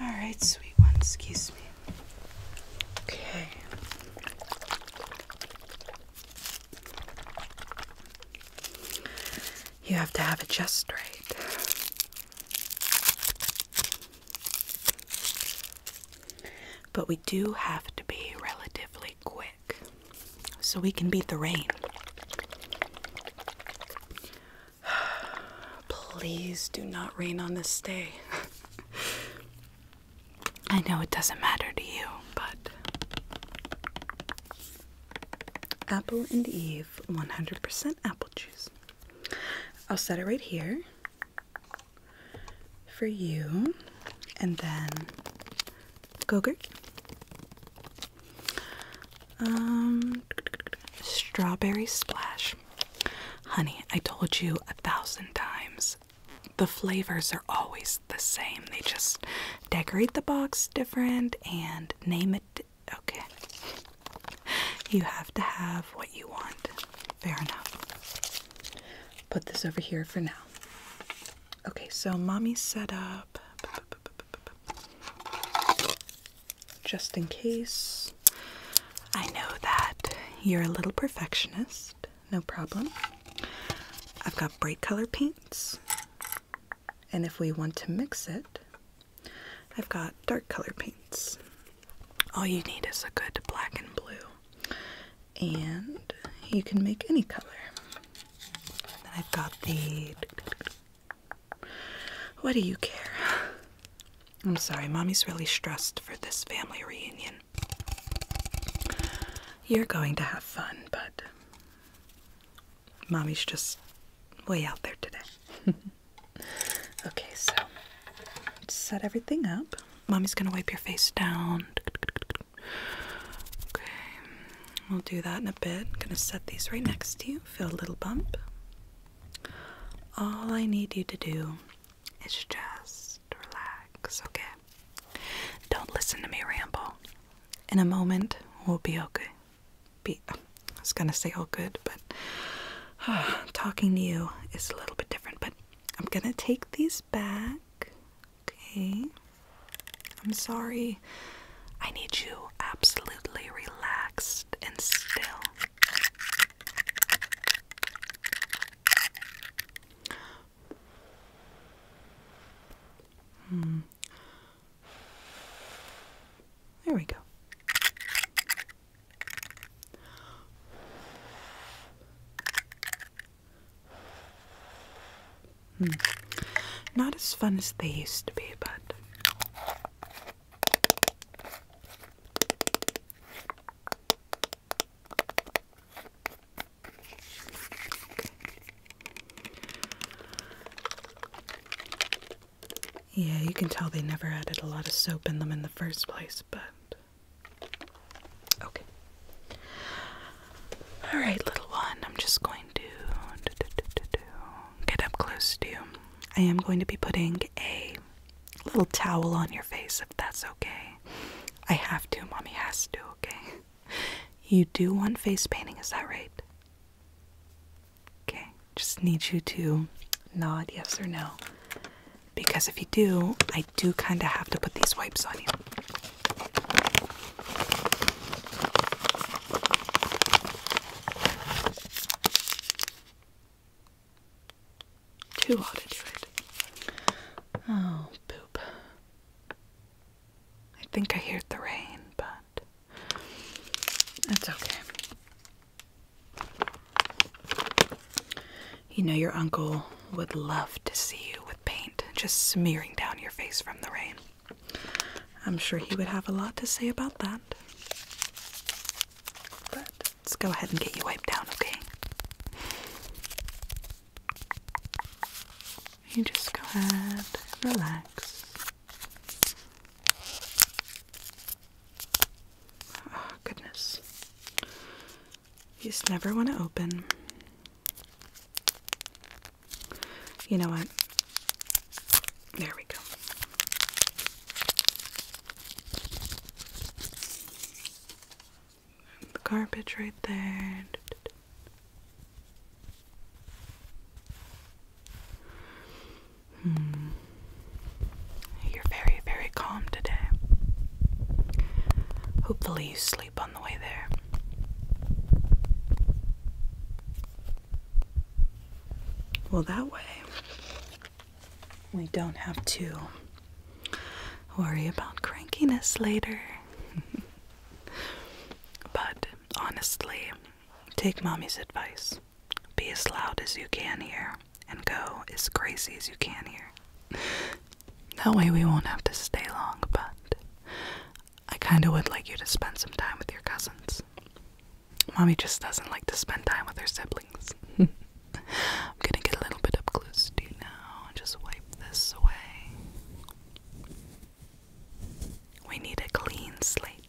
All right, sweet one, excuse me. Okay. You have to have it just right. But we do have to be relatively quick so we can beat the rain. Please do not rain on this day. I know it doesn't matter to you, but. Apple and Eve 100% apple apple I'll set it right here for you, and then Gogurt, um, strawberry splash. Honey, I told you a thousand times. The flavors are always the same. They just decorate the box different and name it okay. you have to have what you want. Fair enough. Put this over here for now. Okay, so mommy set up just in case. I know that you're a little perfectionist, no problem. I've got bright color paints. And if we want to mix it, I've got dark color paints. All you need is a good black and blue, and you can make any color. Then I've got the. What do you care? I'm sorry, mommy's really stressed for this family reunion. You're going to have fun, bud mommy's just way out there today. okay, so set everything up. Mommy's gonna wipe your face down. Okay, we'll do that in a bit. I'm gonna set these right next to you. Feel a little bump. All I need you to do is just relax, okay? Don't listen to me ramble. In a moment, we'll be okay be I was gonna say all good, but talking to you is a little bit different. But I'm gonna take these back. Okay. I'm sorry. I need you absolutely relaxed and still. Hmm. There we go. Hmm. Not as fun as they used to be, but. Yeah, you can tell they never added a lot of soap in them in the first place, but. Okay. Alright, little one, I'm just going to get up close to you. I am going to be putting a little towel on your face if that's okay. I have to, mommy has to, okay? You do want face painting, is that right? Okay, just need you to nod yes or no. Because if you do, I do kind of have to put these wipes on you. Too hot to do it. Oh, poop. I think I heard the rain, but it's okay. You know, your uncle would love to see you with paint just smearing down your face from the rain. I'm sure he would have a lot to say about that. But let's go ahead and get you wiped down, okay? You just go ahead and relax. Oh, goodness. You just never want to open. You know what? There we go. The garbage right there. Hmm. You're very, very calm today. Hopefully, you sleep on the way there. Well, that way, we don't have to worry about crankiness later. but honestly, take mommy's advice be as loud as you can here and go as crazy as you can here. That way we won't have to stay long, but I kind of would like you to spend some time with your cousins. Mommy just doesn't like to spend time with her siblings. I'm gonna get a little bit up close to you now and just wipe this away. We need a clean slate.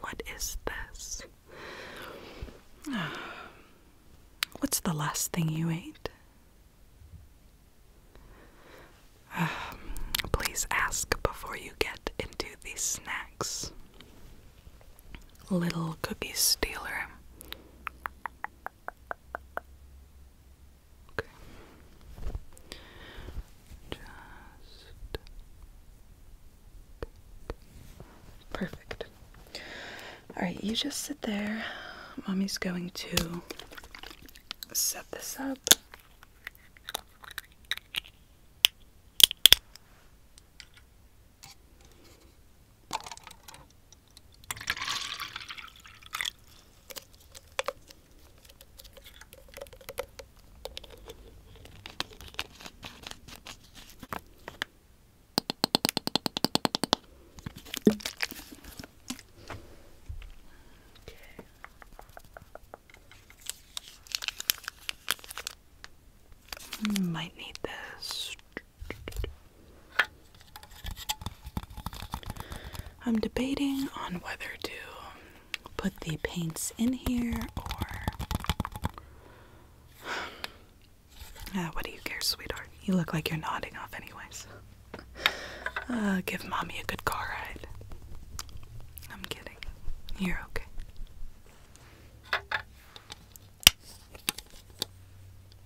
What is this? What's the last thing you ate? please ask before you get into these snacks. Little cookie stealer. Okay. Just perfect. All right, you just sit there. Mommy's going to set this up. Okay. Hmm, might need this. I'm debating on whether to put the paints in here or. Uh, what do you care, sweetheart? You look like you're nodding off, anyways. Uh, give mommy a good car ride. I'm kidding. You're okay.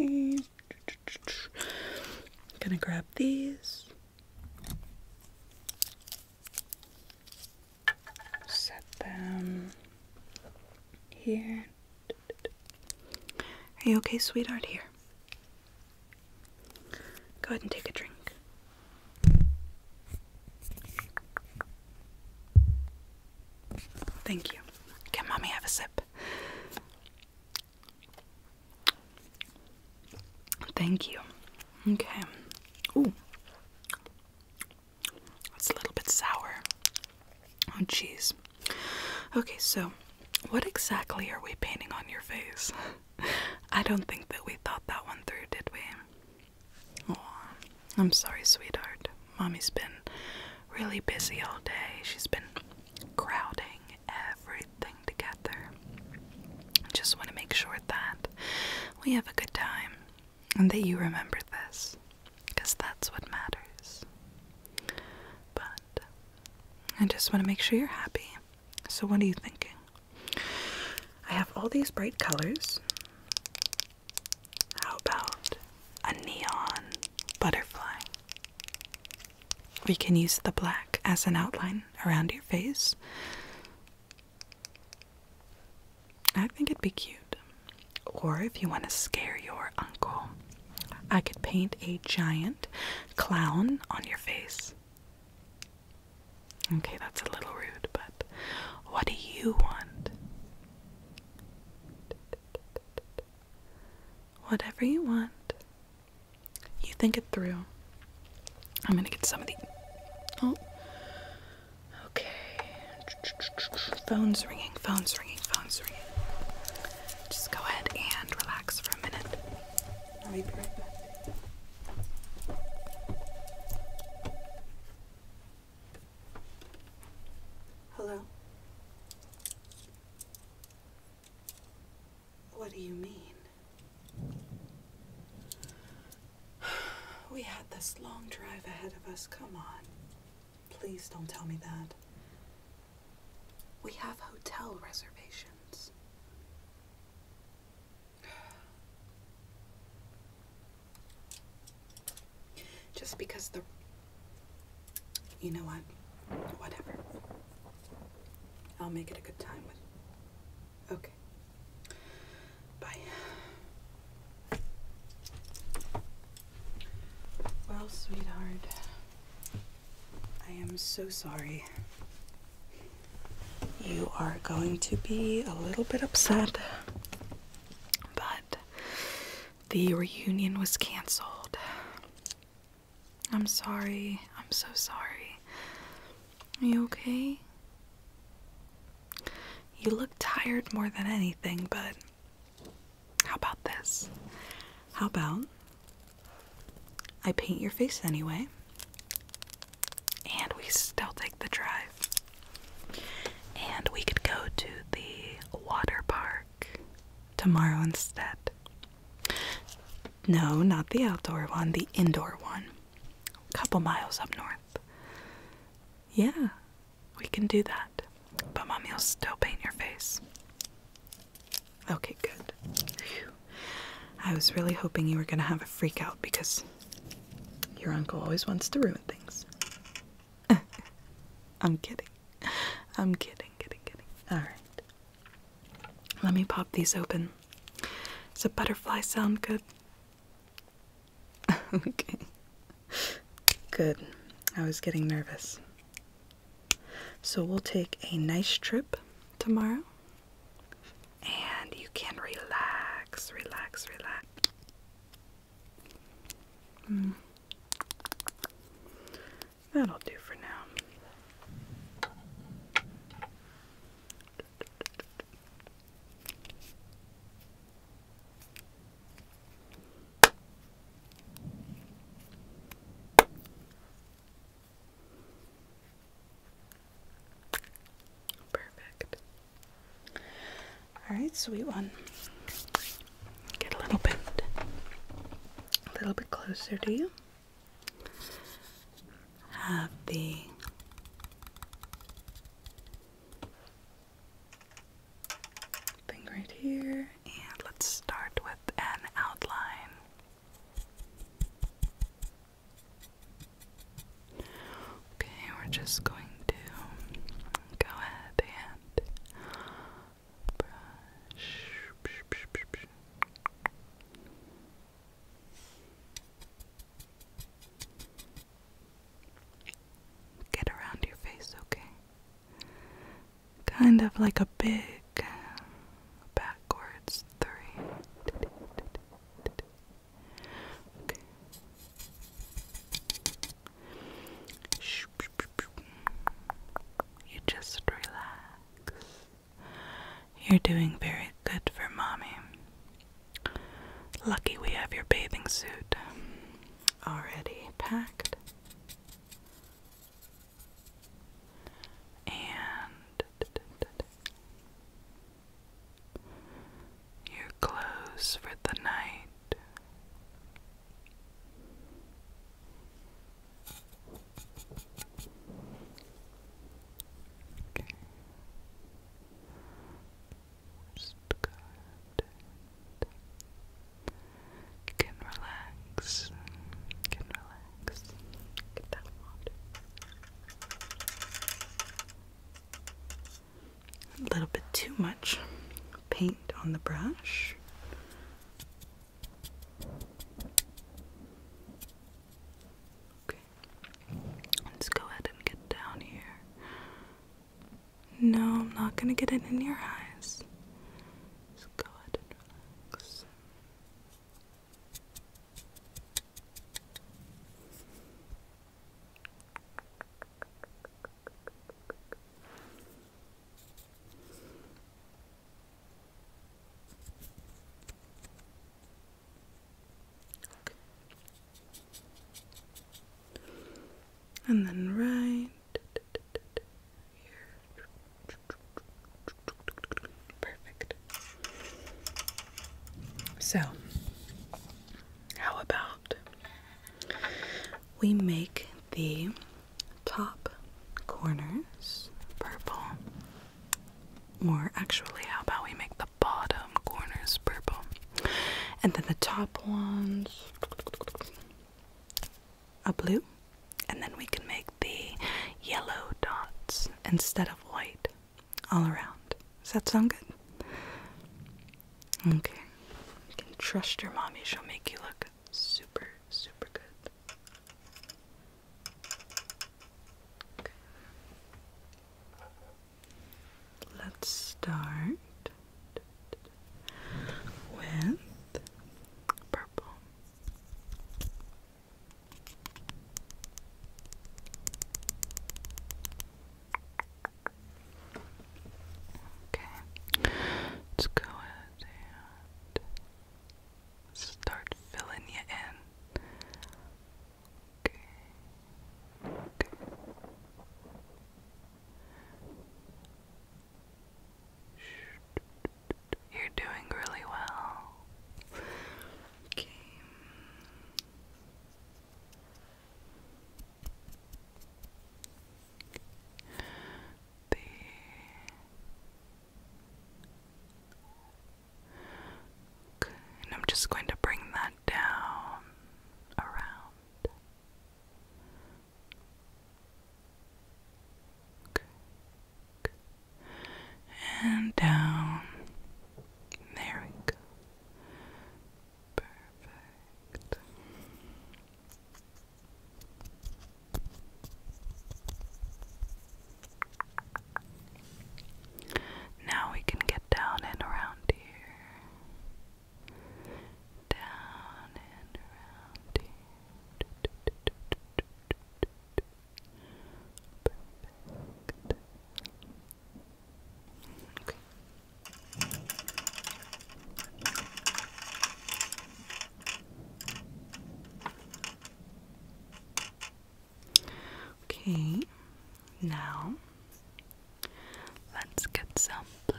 Okay. I'm gonna grab these. Set them here. Are you okay, sweetheart? Here. Go ahead and take a drink. Thank you. Can mommy have a sip? Thank you. Okay. Oh, It's a little bit sour. Oh, jeez. Okay, so what exactly are we painting on your face? I don't think that we thought that one through, did we? Oh, I'm sorry, sweetheart. Mommy's been really busy all day. She's been crowding everything together. Just want to make sure that we have a good time and that you remember this because that's what matters. But I just want to make sure you're happy so, what are you thinking? I have all these bright colors. How about a neon butterfly? We can use the black as an outline around your face. I think it'd be cute. Or if you want to scare your uncle, I could paint a giant clown on your face. Okay, that's a little rude, but what do you want? Whatever you want. You think it through. I'm gonna get some of the. Oh. Okay. Phone's ringing, phone's ringing, phone's ringing. Just go ahead and relax for a minute. I'll be right back. Hello? What do you mean? We had this long drive ahead of us. Come on. Please don't tell me that. We have hotel reservations. Just because the. You know what? Whatever. I'll make it a good time with. Okay. Bye. Well, sweetheart, I am so sorry you are going to be a little bit upset, but the reunion was canceled. I'm sorry. I'm so sorry. Are you okay? You look tired more than anything, but how about this? How about I paint your face anyway and we still take the drive. And we could go to the water park tomorrow instead. No, not the outdoor one, the indoor one. A couple miles up north. Yeah, we can do that. But mommy will still paint your face. Okay, good. I was really hoping you were gonna have a freak out because your uncle always wants to ruin things. I'm kidding. I'm kidding, kidding, kidding. Alright. Let me pop these open. Does a butterfly sound good? okay. Good. I was getting nervous. So we'll take a nice trip tomorrow and you can relax, relax, relax. Hmm. That'll do for now. Perfect. All right, sweet one. Get a little bit, a little bit closer to you. Have the thing right here, and let's start with an outline. Okay, we're just going to go ahead and Get around your face, okay? Kind of like a big backwards three. Okay. You just relax. You're doing very good for mommy. Lucky we have your bathing suit already packed. And your clothes for the night. Okay. Just go You can relax. You can relax. Get that water a little bit too much paint on the brush. Okay, let's go ahead and get down here. No, I'm not gonna get it in your eyes. Let's go ahead and relax. And then right here. Perfect. So how about we make the top corners purple? Or actually, how about we make the bottom corners purple? And then the top ones a blue, and then we can make the yellow dots instead of white all around. Does that sound good? Okay. You can trust your mommy. She'll make you look super, super good. Let's start with purple. Okay, let's go ahead and start filling you in. Okay. okay. You're doing really well. Okay and I'm just going to bring that down around. And down. There we go. Perfect. Now we can get down and around here. Down and around here. Okay. Okay, now let's get some blue.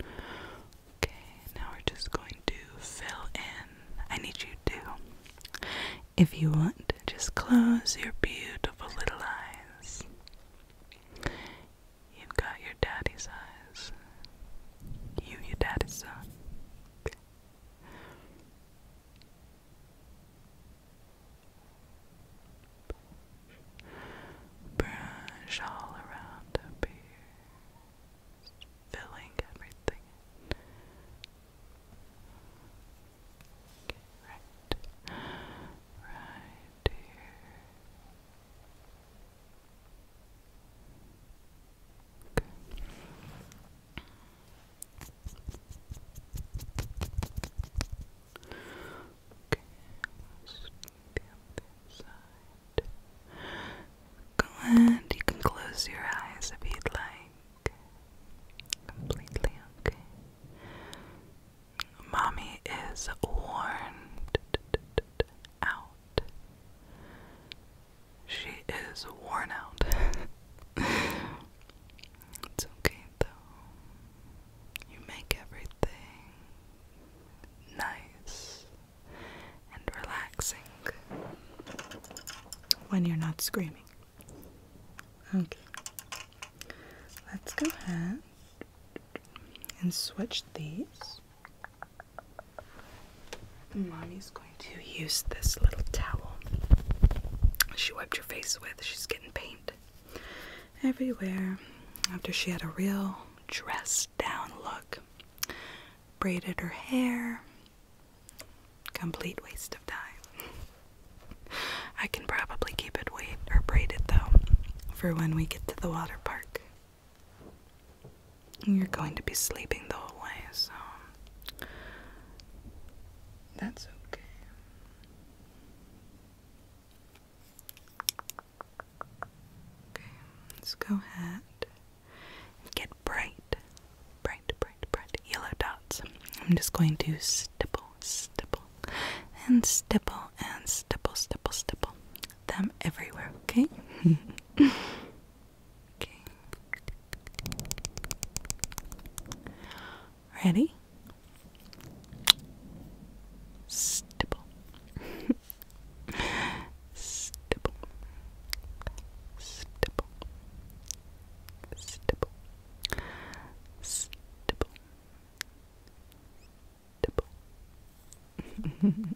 Okay, now we're just going to fill in. I need you to, if you want, just close your beautiful little eyes. You've got your daddy's eyes. You, your daddy's son. Brush all around up here. Just filling everything right. Right here. Okay. Okay, the other You can close your eyes if you'd like. Completely okay. Mommy is warned out. She is worn out. it's okay though. You make everything nice and relaxing when you're not screaming. Okay, let's go ahead and switch these. Mommy's going to use this little towel she wiped her face with. She's getting paint everywhere after she had a real dress down look braided her hair. Complete waste of time. I can probably keep it weight or braided though for when we get to the water park. You're going to be sleeping the whole way, so that's okay. Okay, let's go ahead get bright, bright, bright, bright yellow dots. I'm just going to stipple, stipple, and stipple, and stipple, stipple, stipple them everywhere, okay? okay. Ready? Stipple. stipple, stipple, stipple, stipple, stipple. and stipple. Stipple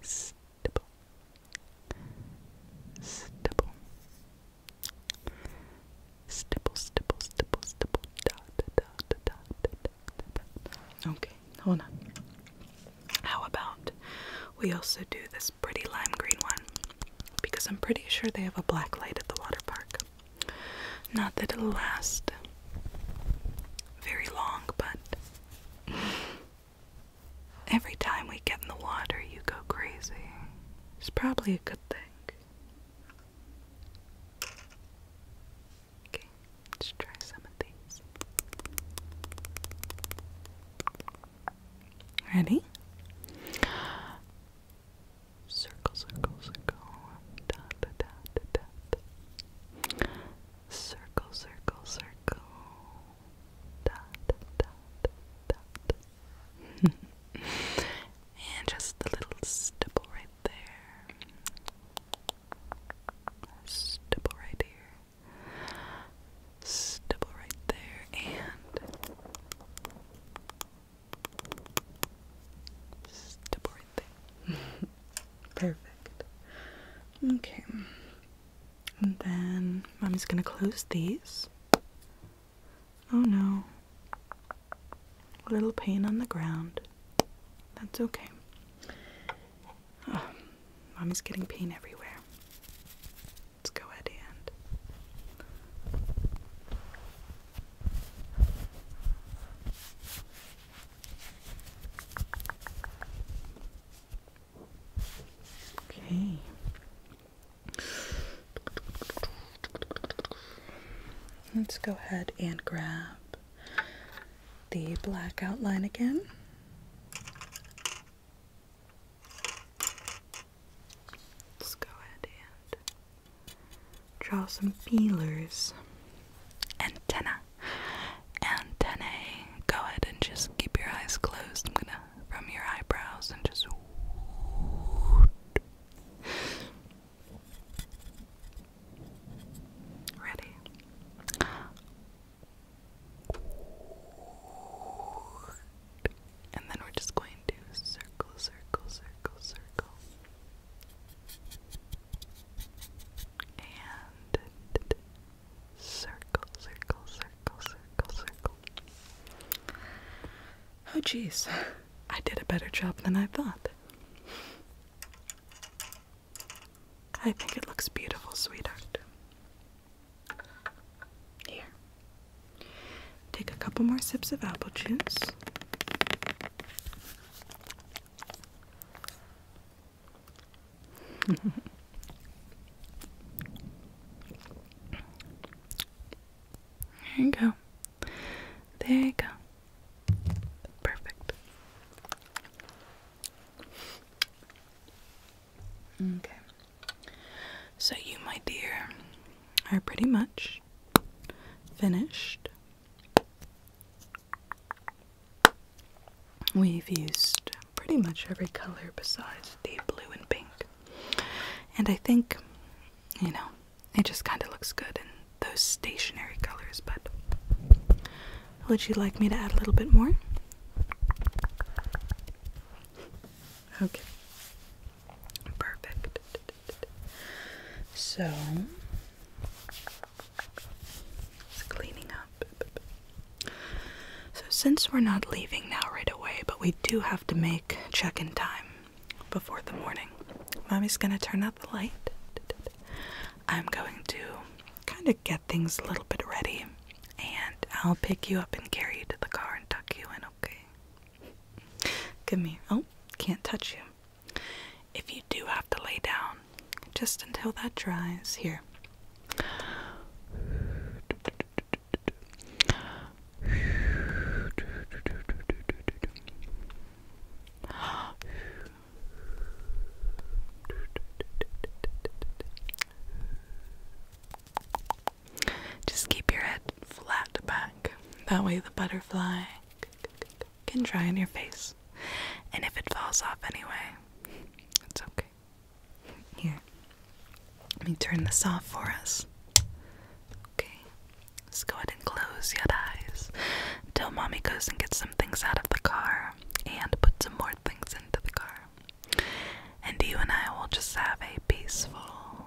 stipple, stipple, stipple, stipple, stipple, stipple, stipple. dot, dot, dot, dot. Okay, hold on. How about we also do this pretty lime green one? Because I'm pretty sure they have a black light at the water park. Not that it'll last very long, but Every time we get in the water, you go crazy. It's probably a good thing. Okay, let's try some of these. Ready? Circle, circle, circle. Dot, dot, dot, dot circle, circle, circle, dot, dot, dot. and just the little stipple right there. Stipple right here. Stipple right there. And stipple right there. Perfect. Okay. And then mommy's gonna close these. Oh no. A little pain on the ground. That's okay. mommy's getting pain everywhere. Let's go at the end. Okay. Let's go ahead and grab the black outline again. Let's go ahead and draw some feelers. Antenna. And antennae. Go ahead and just keep your eyes closed. I'm gonna from your eyebrows and just. Ready? And then we're just going to circle, circle, circle, circle and circle, circle, circle, circle, circle. Oh, jeez, I did a better job than I thought. I think it looks beautiful, sweetheart. Here. Take a couple more sips of apple juice. there you go. There you go. Perfect. Okay. So, you, my dear, are pretty much finished We've used pretty much every color besides the blue and pink. And I think, you know, it just kind of looks good in those stationary colors, but would you like me to add a little bit more? Okay. Perfect. So, cleaning up. So, since we're not leaving now right away, but we do have to make check in time before the morning, Mommy's gonna turn out the light. I'm going to kind of get things a little bit ready, and I'll pick you up and carry you to the car and tuck you in, okay? Give me. Oh, can't touch you. If you do have to lay down, just until that dries here. Just keep your head flat back. That way the butterfly can dry on your face. And if it falls off anyway, it's okay. Here, let me turn this off for us. Okay, let's go ahead and close your eyes until mommy goes and gets some things out of the car and put some more things into the car. And you and I will just have a peaceful,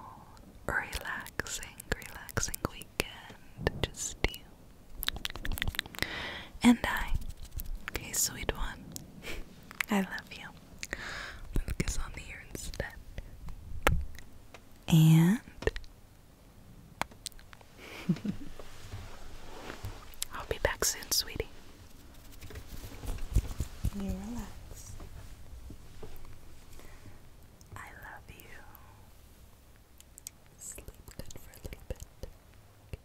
relaxing, relaxing weekend. Just you and I. Okay, sweet one. I love you. let on the ear instead. And I'll be back soon, sweetie. You relax. I love you. Sleep good for a little bit.